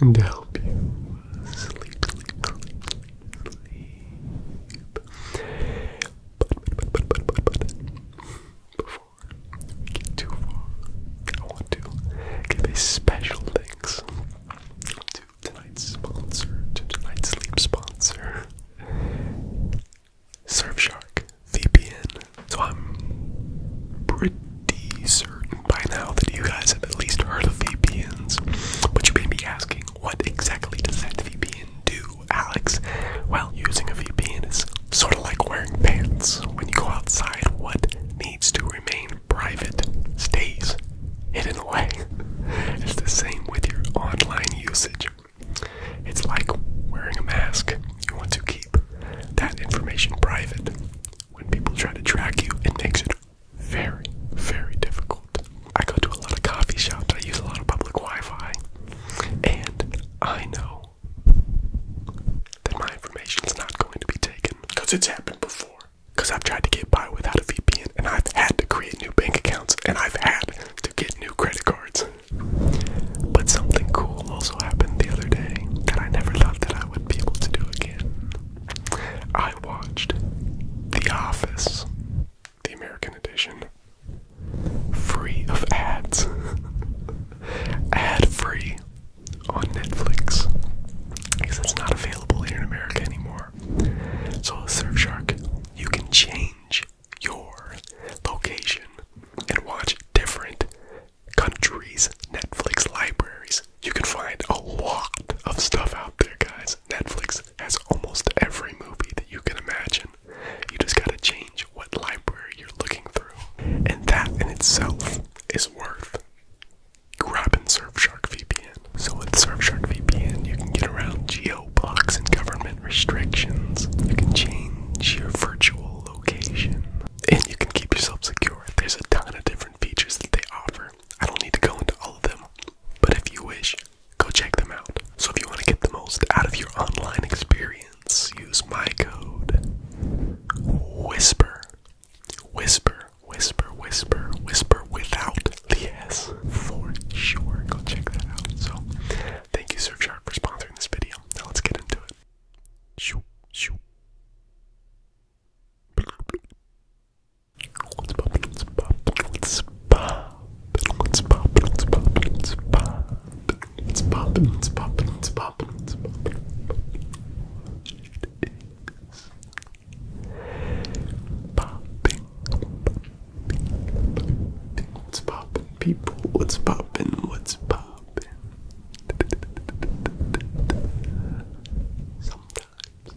and to help you sleep, before we get too far, I want to give a special thanks to tonight's sponsor, to tonight's sleep sponsor, Surfshark VPN. So I'm pretty certain by now that you guys have at least heard of VPNs. But you may be asking, what exactly does that VPN do, Alex? Well, using a VPN is sort of like wearing pants. When you go outside, what needs to remain private stays hidden away. It's the same with your online usage. It's like wearing a mask. You want to keep that information private when people try to track you, it makes it very, very difficult. I go to a lot of coffee shops, I use a lot of public Wi Fi, and I know that my information is not going to be taken because it's happened before. Because I've tried to get by without a VPN, and I've had to create new bank accounts, and I've had to get new credit cards. But something cool also happened the other day that I never thought that I would be able to do again. I watched The Office, the American edition, free of ads, ad free on Netflix because it's not available here in America anymore. So, Surfshark, you can change your location and watch different countries' Netflix libraries. You can find a lot of stuff out there, guys. Netflix has almost every movie that you can imagine. You just gotta change what library you're looking through. And that in itself is worth grabbing Surfshark VPN. So with Surfshark VPN, you can get around geo blocks and government restrictions. You can change your virtual location. And you can keep yourself secure there's a ton of different features that they offer. I don't need to go into all of them, but if you wish, go check them out. So if you want to get the most out of your online experience, use my code Whisper. Whisper, whisper, whisper, whisper without the S for sure. Go check that out. So thank you, Surfshark, for sponsoring this video. Now let's get into it. Shoo, shoo. Popping people, what's popping? What's popping? Sometimes.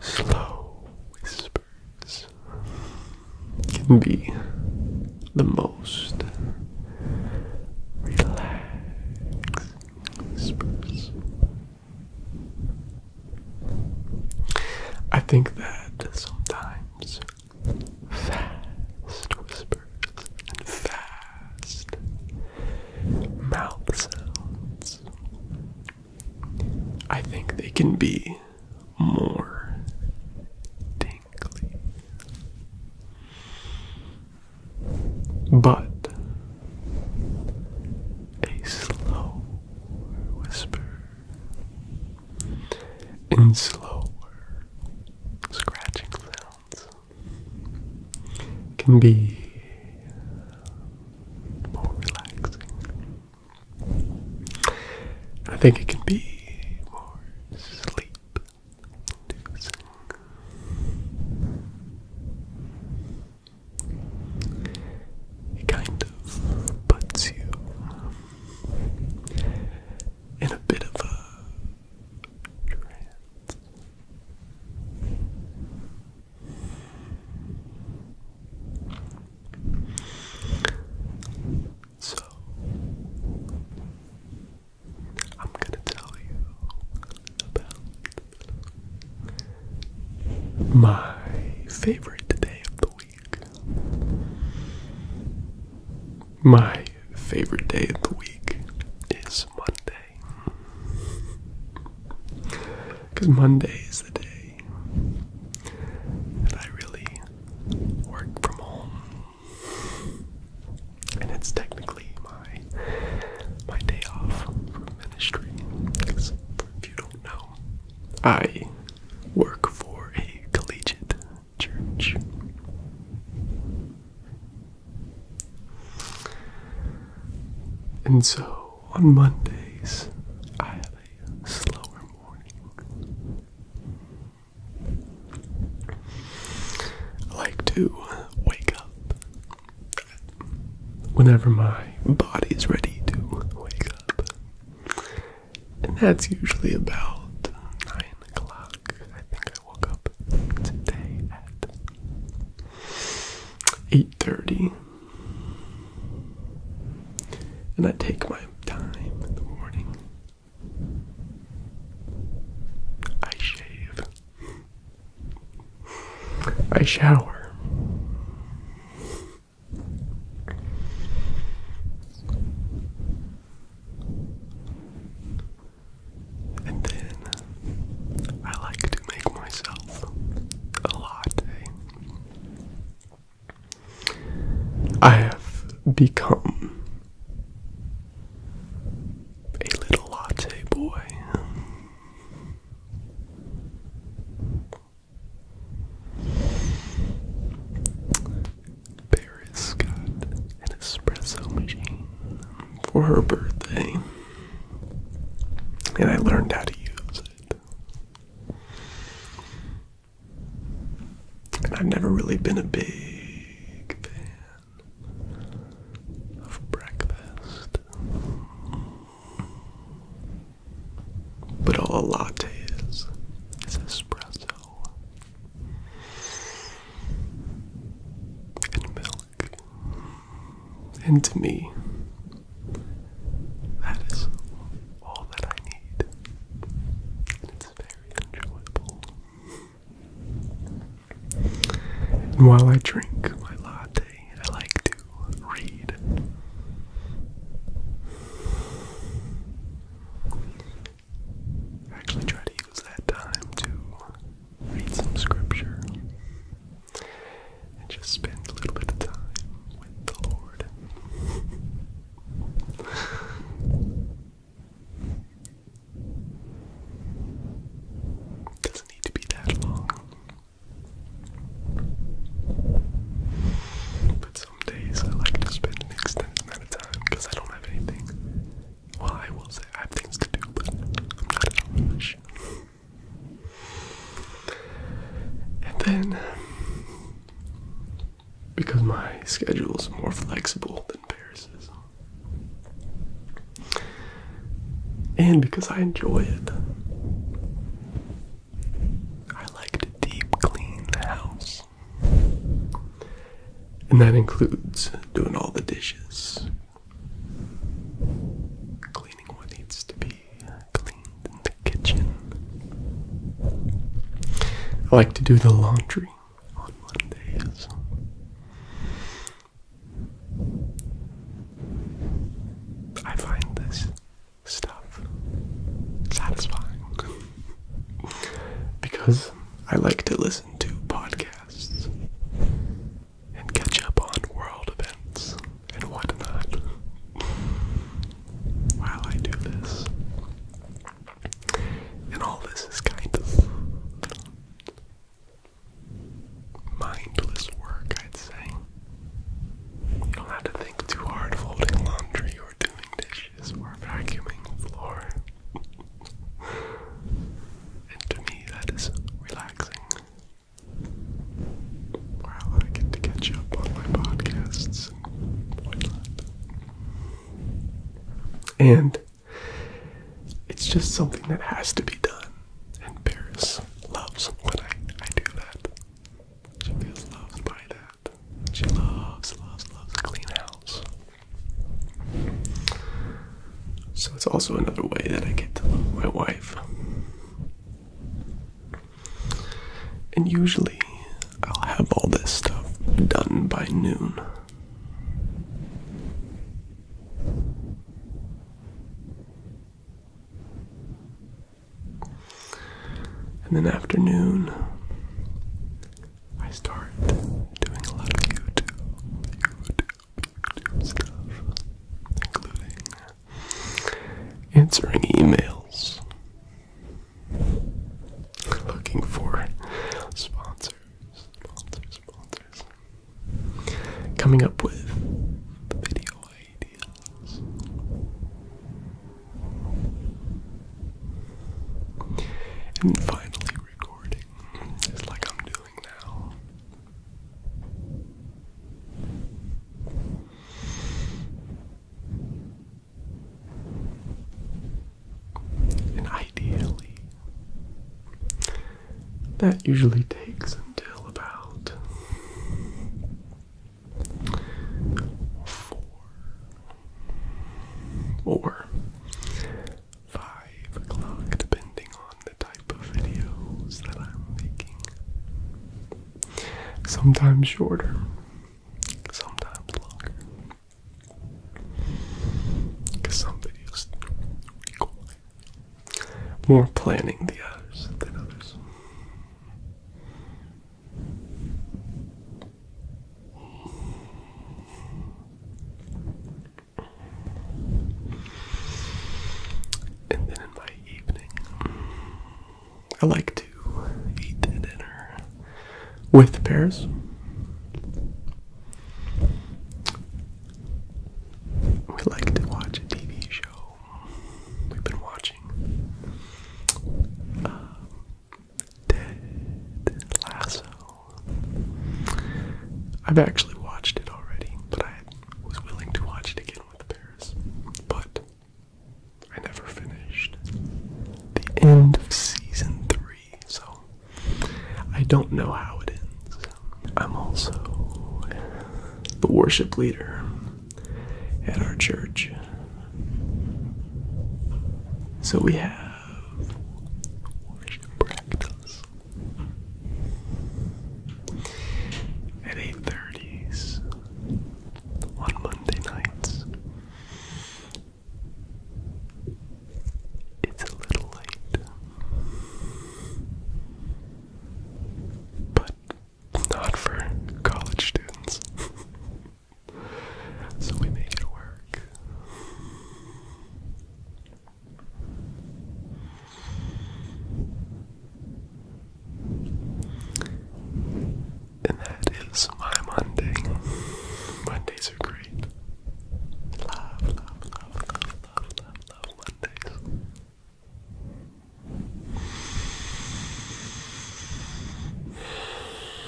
Slow whispers can be the most relaxing whispers. I think that sometimes fast whispers and fast mouth sounds. I think they can be more tingly. But a slow whisper and slower scratching sounds can be more relaxing. I think it can be more sleep inducing. It kind of puts you um, in a bit of a trance. So, I'm going to tell you about my favorite day of the week. My favorite day of the week is Monday. Because Monday is the day that I really work from home. And it's technically my my day off from ministry. Because if you don't know, I work for a collegiate church. And so on Mondays, I have a slower morning. like to wake up whenever my body is ready to wake up. And that's usually about 9 o'clock. I think woke up today at 8.30. And I take my time in the morning. I shave. I shower. And then I like to make myself a latte. I have become a little latte boy. Paris got an espresso machine for her birthday, and I learned how to use it. And I've never really been a big fan of breakfast. But all a latte is is espresso and milk and to me that is all that I need and it's very enjoyable and while I drink my latte I like to read I actually try to use that time to read some scripture, and just spend a little bit of time with the Lord. Doesn't need to be that long. But some days I like to spend an extended amount of time because I don't have anything well, I will say I have things to do, but I'm not a rush. And then, because my schedule is more flexible than Paris's, and because I enjoy it, I like to deep clean the house. And that includes doing all the dishes, Cleaning what needs to be cleaned in the kitchen. I like to do the laundry on Mondays. I find this stuff satisfying because I like to listen to podcasts and catch up on world events and whatnot while I do this. And all this is kind of mindless work, I'd say. You don't have to think too hard folding laundry or doing dishes or vacuuming the floor and to me that is relaxing. Wow, I get to catch up on my podcasts and it's just something that has to be done. And Paris loves when I, I do that. She feels loved by that. She loves, loves, loves clean house. So it's also another way that I get to love my wife. And usually I'll have all this stuff done by noon. And then afternoon, I start doing a lot of YouTube, YouTube, stuff, including answering emails, looking for sponsors, sponsors, sponsors, coming up with video ideas. And finally, recording, just like I'm doing and ideally, that usually takes until about four or 5 o'clock, depending on the type of videos that I'm making. Sometimes shorter, sometimes longer. Because some videos require more planning the others. And then in my evening, I like to eat dinner with pears. We like to watch a TV show. We've been watching um, Ted I've actually watched it already, but I was willing to watch it again with Paris. But I never finished the end of season three, so I don't know how it ends. I'm also the worship leader at our church. So we have worship practice at 8.30s on Monday nights. It's a little late, but not for college students. so we make it work. And that is my Monday. Mondays are great. Love, love, love, love, love, love, love Mondays.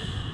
Relax,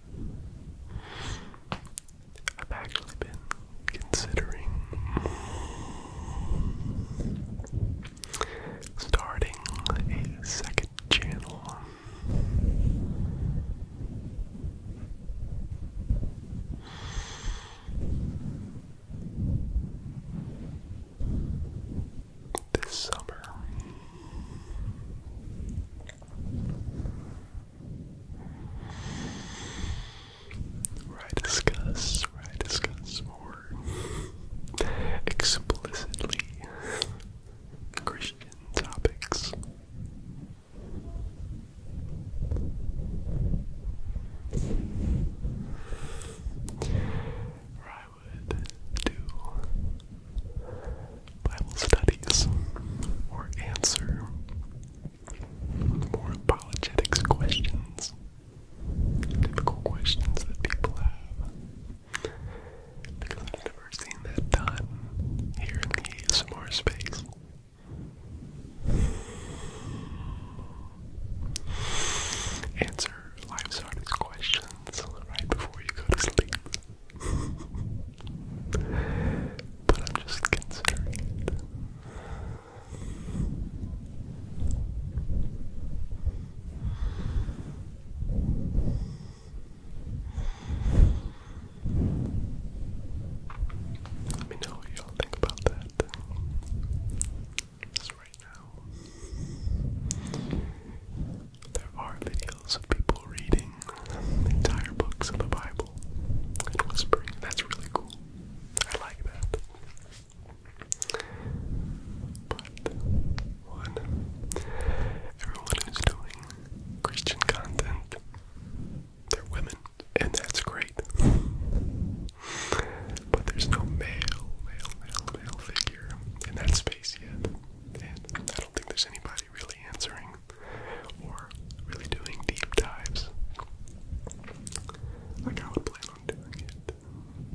I've actually been considering starting a second channel. This summer, I discuss, right discuss more explicitly Christian topics. Or I would do Bible studies, or answer more apologetics questions, typical questions that people have. Because I've never seen that done here in the ASMR space. Answer life's hardest questions right before you go to sleep but I'm just considering it. Let me know what y'all think about that. Just right now. There are videos of people reading entire books of the Bible whispering. That's really cool. I like that. But one, everyone who's doing Christian content, they're women, and that's great. But there's no male, male, male, male figure in that space yet, and I don't think there's anybody really answering or really doing deep dives. Like I would plan on doing it,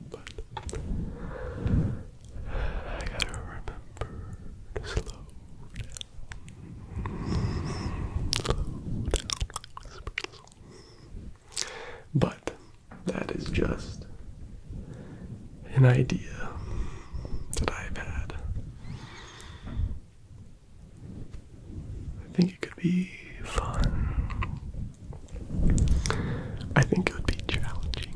but I gotta remember to Slow down. But that is just an idea that I've had. I think it could be fun. I think it would be challenging.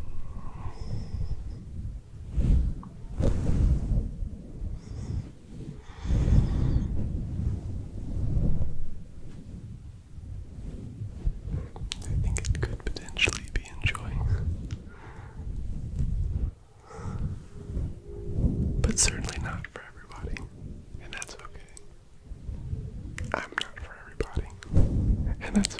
I think it could potentially be enjoying. But certainly not for everybody. And that's okay. I'm not for everybody. And that's okay.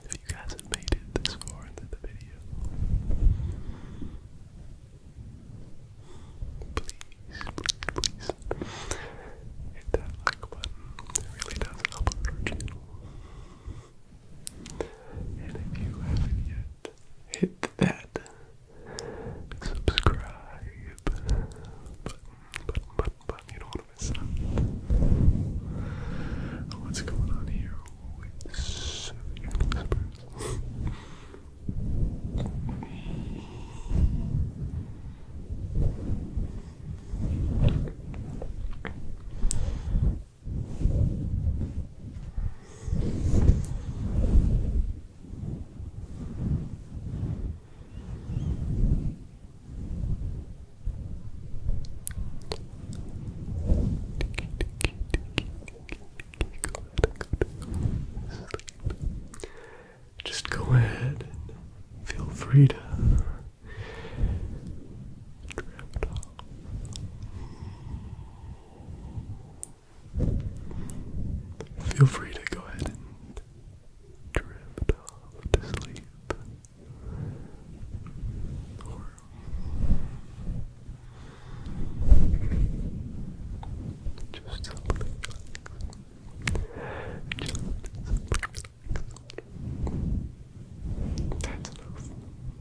If you guys have made it this far into the video, please, hit that like button. really does help out our channel. And if you haven't yet, hit that subscribe button, You don't want to miss out. What's going on here just go ahead and feel free to Feel free to go ahead and drift off to sleep just something like just something like that's enough.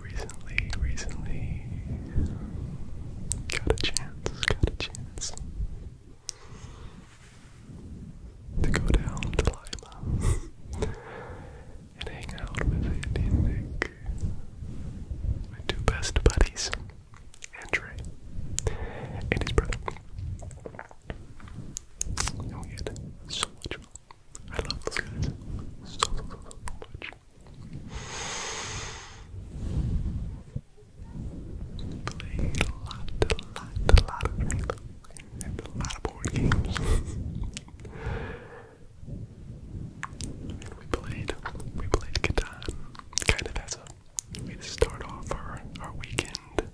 Recently, recently got a chance, got a chance to go down to Lima and hang out with Andy and Nick, my two best buddies, and Trey, and brother. we oh, had so much I love those guys so, much a lot of board games. we played, we played Catan, kind of as a way to start off our, our weekend,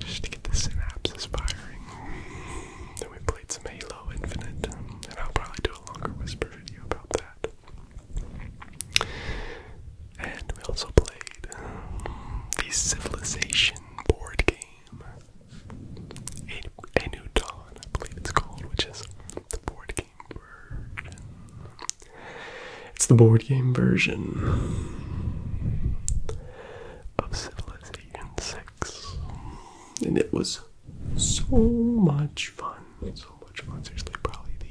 just to get the synapses firing. Then we played some Halo Infinite, and I'll probably do a longer whisper video about that. And we also played um, the Civilization board game. A, New Dawn, I believe it's called, which is the board game version. It's the board game version of Civilization 6. And it was so much fun. So much fun. Seriously, probably the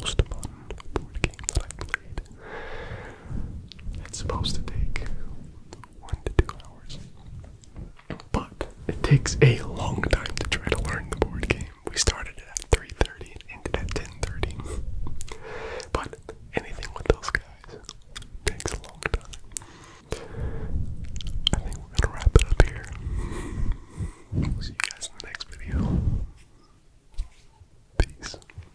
most fun board game that I played it's supposed to take one to two hours. But it takes a long time to try to learn the board game. We started at 3.30 and ended at 10.30. But anything with those guys takes a long time. I think we're gonna wrap it up here. see you guys in the next video. Peace.